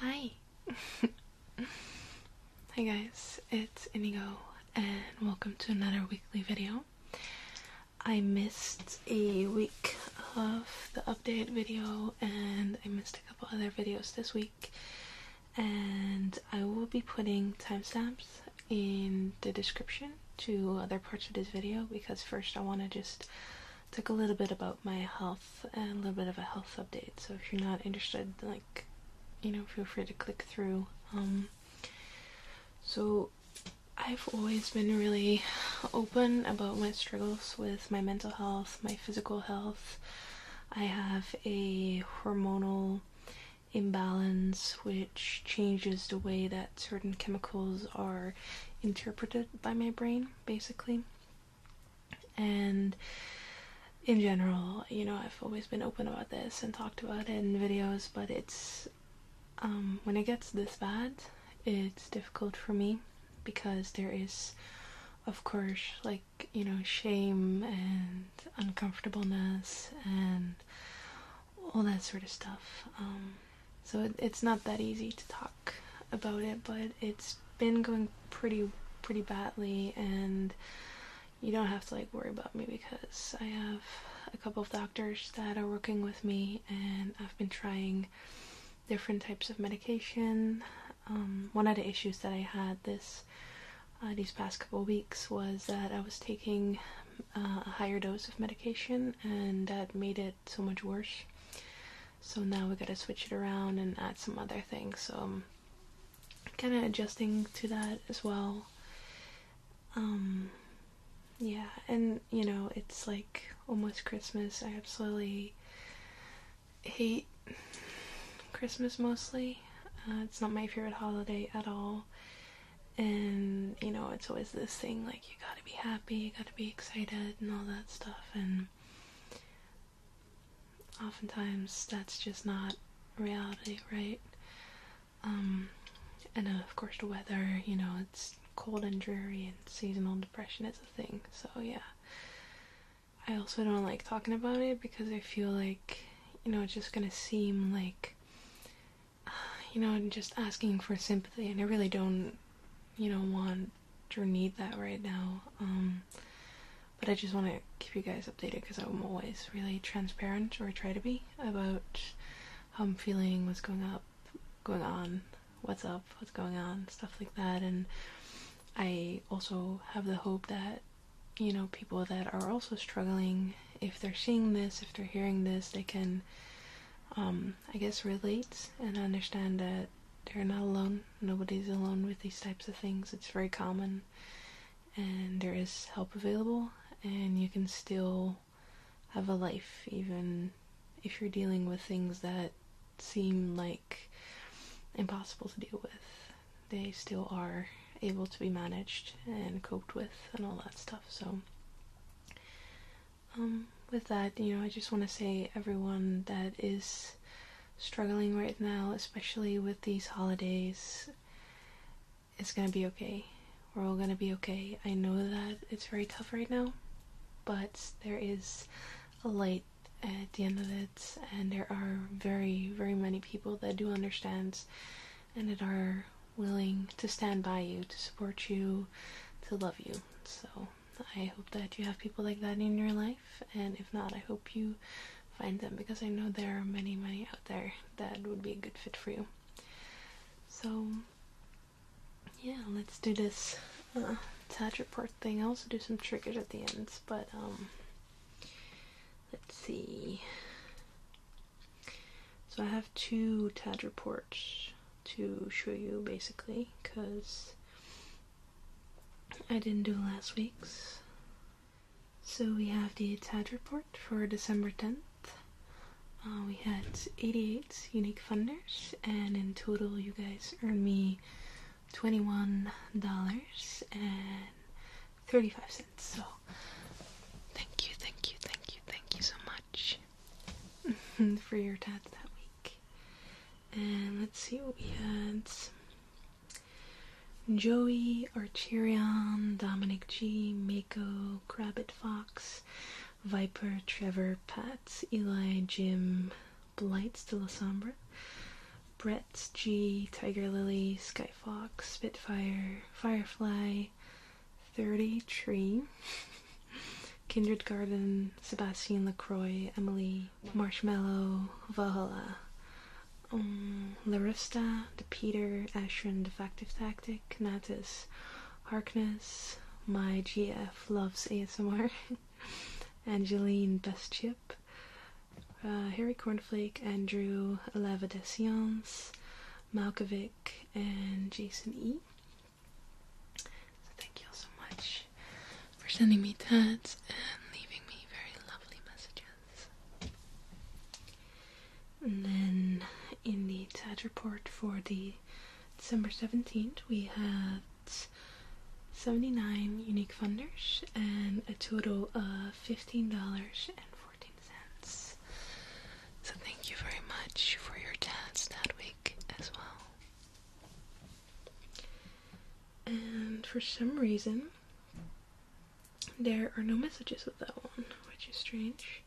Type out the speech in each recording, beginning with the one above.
Hi. Hi guys, it's Inigo and welcome to another weekly video. I missed a week of the update video and I missed a couple other videos this week and I will be putting timestamps in the description to other parts of this video because first I want to just talk a little bit about my health and a little bit of a health update. So if you're not interested, like, you know, feel free to click through. Um, so I've always been really open about my struggles with my mental health, my physical health. I have a hormonal imbalance with which changes the way that certain chemicals are interpreted by my brain, basically. And in general, you know, I've always been open about this and talked about it in videos, but it's um, when it gets this bad, it's difficult for me because there is, of course, like, you know, shame and uncomfortableness and all that sort of stuff. Um, so it's not that easy to talk about it, but it's been going pretty pretty badly and you don't have to like worry about me because I have a couple of doctors that are working with me and I've been trying different types of medication. Um, one of the issues that I had this uh, these past couple weeks was that I was taking uh, a higher dose of medication, and that made it so much worse. So now we gotta switch it around and add some other things. So I'm kind of adjusting to that as well. Um, yeah, and you know, it's like almost Christmas. I absolutely hate Christmas mostly. Uh, it's not my favorite holiday at all and you know it's always this thing like you gotta be happy you gotta be excited and all that stuff and oftentimes that's just not reality right um and uh, of course the weather you know it's cold and dreary and seasonal depression is a thing so yeah i also don't like talking about it because i feel like you know it's just gonna seem like you know, just asking for sympathy, and I really don't, you know, want or need that right now. Um, but I just want to keep you guys updated because I'm always really transparent, or try to be, about how I'm feeling, what's going up, going on, what's up, what's going on, stuff like that. And I also have the hope that you know people that are also struggling if they're seeing this, if they're hearing this, they can, um, I guess, relate and understand that they're not alone. Nobody's alone with these types of things. It's very common, and there is help available, and you can still have a life, even if you're dealing with things that seem like impossible to deal with they still are able to be managed and coped with and all that stuff. So, um, with that, you know, I just want to say everyone that is struggling right now, especially with these holidays, it's gonna be okay. We're all gonna be okay. I know that it's very tough right now, but there is a light at the end of it, and there are very, very many people that do understand and that are willing to stand by you, to support you, to love you. So I hope that you have people like that in your life, and if not, I hope you find them because I know there are many, many out there that would be a good fit for you. So yeah, let's do this uh, tad report thing. I also do some triggers at the ends, but um, Let's see. So I have two TAD reports to show you basically because I didn't do last week's. So we have the TAD report for December 10th. Uh, we had 88 unique funders, and in total, you guys earned me $21.35. So Thank you, thank you, thank you, thank you so much for your tags that week. And let's see what we had. Joey, Archerion, Dominic G, Mako, Crabbit Fox, Viper, Trevor, Pat, Eli, Jim, Blights de la Sombra, Brett G, Tiger Lily, skyfox Spitfire, Firefly, 30 Tree, Kindergarten Sebastian LaCroix, Emily, Marshmallow, Valhalla, um, Larista, De Peter, Ashran, Defective Tactic, Natus, Harkness, My GF Loves ASMR, Angeline, best chip. Uh, Harry Cornflake, Andrew Leva de and Jason E. So thank you all so much for sending me tats and leaving me very lovely messages. And then in the tat report for the December 17th, we had 79 unique funders and a total of $15.14. So thank you very much for your tats that week as well. And for some reason, there are no messages with that one, which is strange.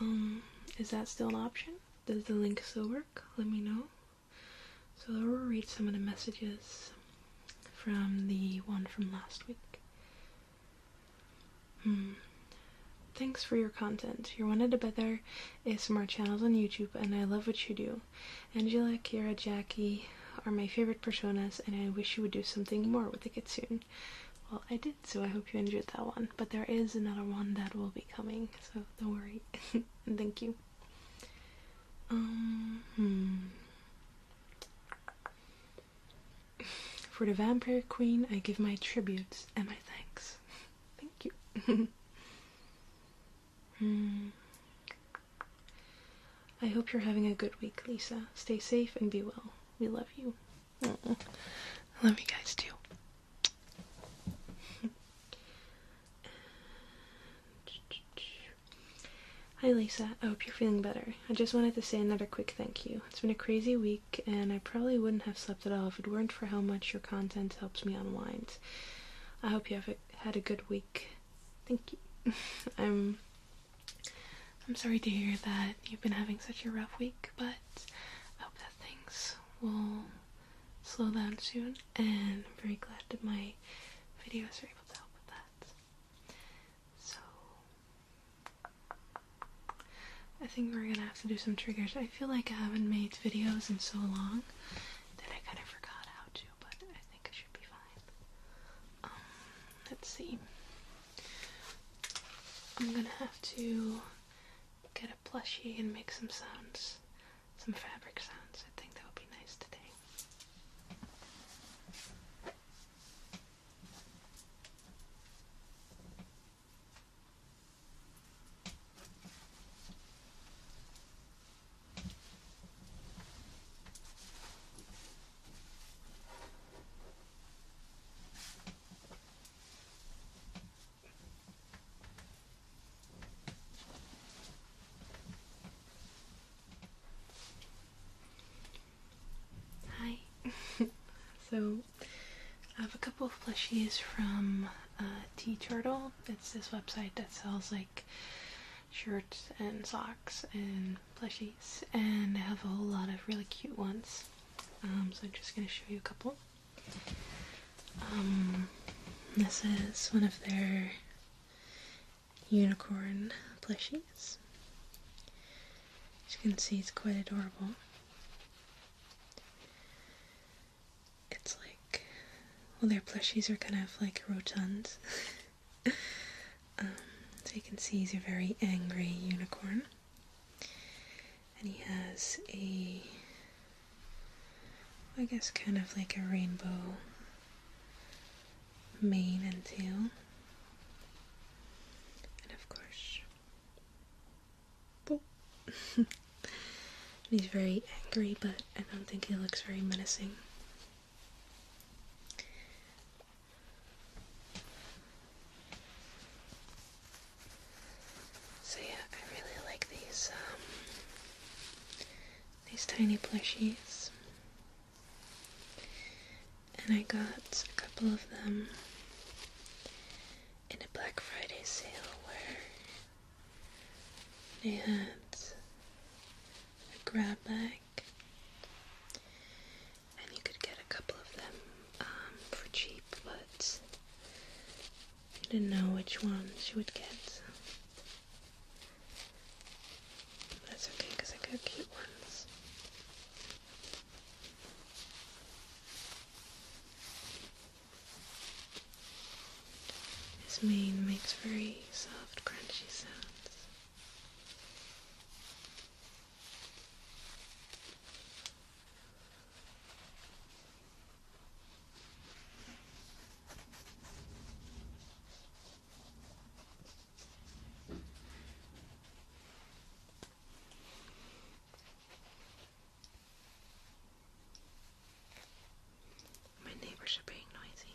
Um, is that still an option? Does the link still work? Let me know. So I'll read some of the messages from the one from last week. Hmm. Thanks for your content. You're one of the better ASMR channels on YouTube, and I love what you do. Angela, Kira, Jackie are my favorite personas, and I wish you would do something more with the kit soon. Well, I did, so I hope you enjoyed that one. But there is another one that will be coming, so don't worry. and thank you. Um, hmm. For the Vampire Queen, I give my tributes and my thanks. Thank you. Hmm. I hope you're having a good week, Lisa. Stay safe and be well. We love you. I love you guys too. Hi Lisa, I hope you're feeling better. I just wanted to say another quick thank you. It's been a crazy week, and I probably wouldn't have slept at all if it weren't for how much your content helps me unwind. I hope you have had a good week. Thank you. I'm I'm sorry to hear that you've been having such a rough week, but I hope that things will slow down soon and I'm very glad that my videos are able to help with that. So, I think we're gonna have to do some triggers. I feel like I haven't made videos in so long that I kind of forgot how to, but I think it should be fine. Um, let's see. I'm gonna have to get a plushie and make some sounds some fabric sounds. I think that would be nice today. Hi. so I have a couple of plushies from uh, Turtle. It's this website that sells like shirts and socks and plushies, and I have a whole lot of really cute ones. Um, so I'm just gonna show you a couple. Um, this is one of their unicorn plushies. As you can see, it's quite adorable. It's like, well, their plushies are kind of like rotund. Um, so you can see he's a very angry unicorn and he has a I guess kind of like a rainbow mane and tail. And of course He's very angry, but I don't think he looks very menacing. So yeah, I really like these um, these tiny plushies, and I got a couple of them in a Black Friday sale where they had a grab bag. And you could get a couple of them um, for cheap, but she didn't know which one she would get. That's okay because I got cute ones. His mane makes very soft, crunchy sounds. My neighbors are being noisy.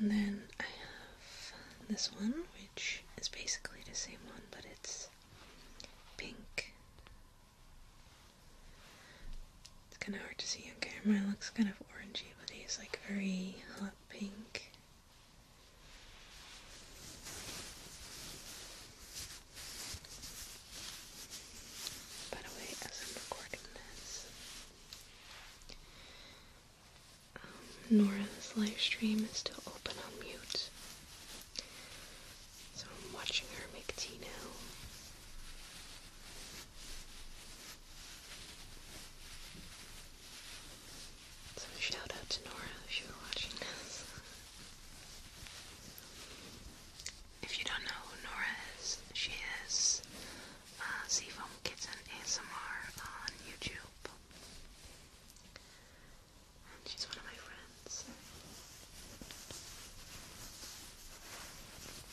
then I have this one, which is basically the same one, but it's pink. It's kind of hard to see on camera, it looks kind of orangey, but it's like very hot pink. By the way, as I'm recording this, um, Nora's live stream is still open on mute. So I'm watching her make tea now. So shout out to Nora if you are watching this. If you don't know who Nora is, she is uh, Seafoam Kitten ASMR on YouTube. And she's one of my friends.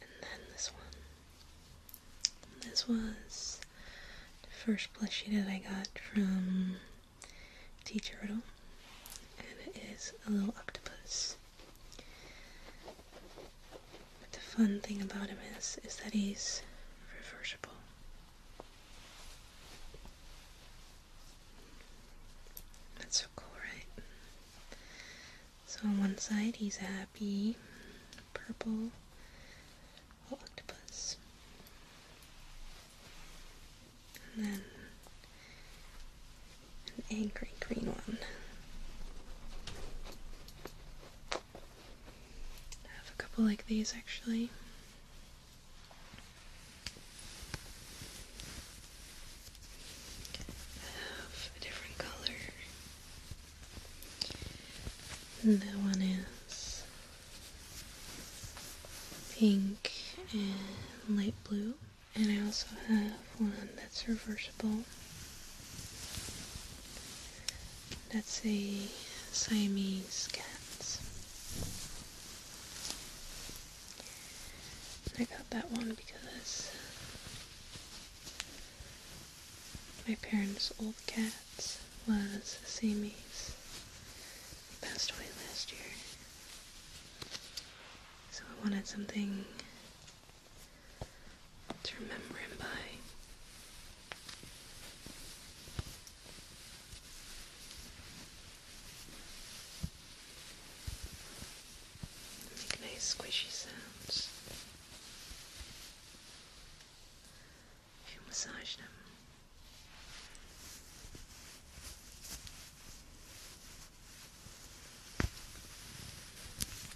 And then this one. This was the first plushie that I got from Tea Turtle. And it is a little octopus. But the fun thing about him is, is that he's reversible. That's so cool, right? So on one side he's happy purple octopus. And then an angry green one. I have a couple like these actually. I have a different color. that one is pink and light blue. And I also have one that's reversible. That's a Siamese cat. I got that one because my parents' old cat was a Siamese. He passed away last year. So I wanted something to remember him by. Make nice squishy sounds. massage them.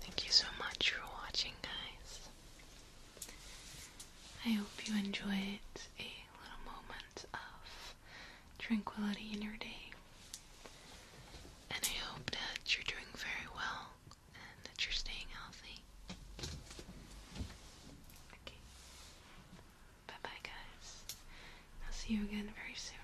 Thank you so much for watching, guys. I hope you enjoyed a little moment of tranquility in your day. And I hope that you're doing very well and that you're staying healthy. Okay. Bye bye, guys. I'll see you again very soon.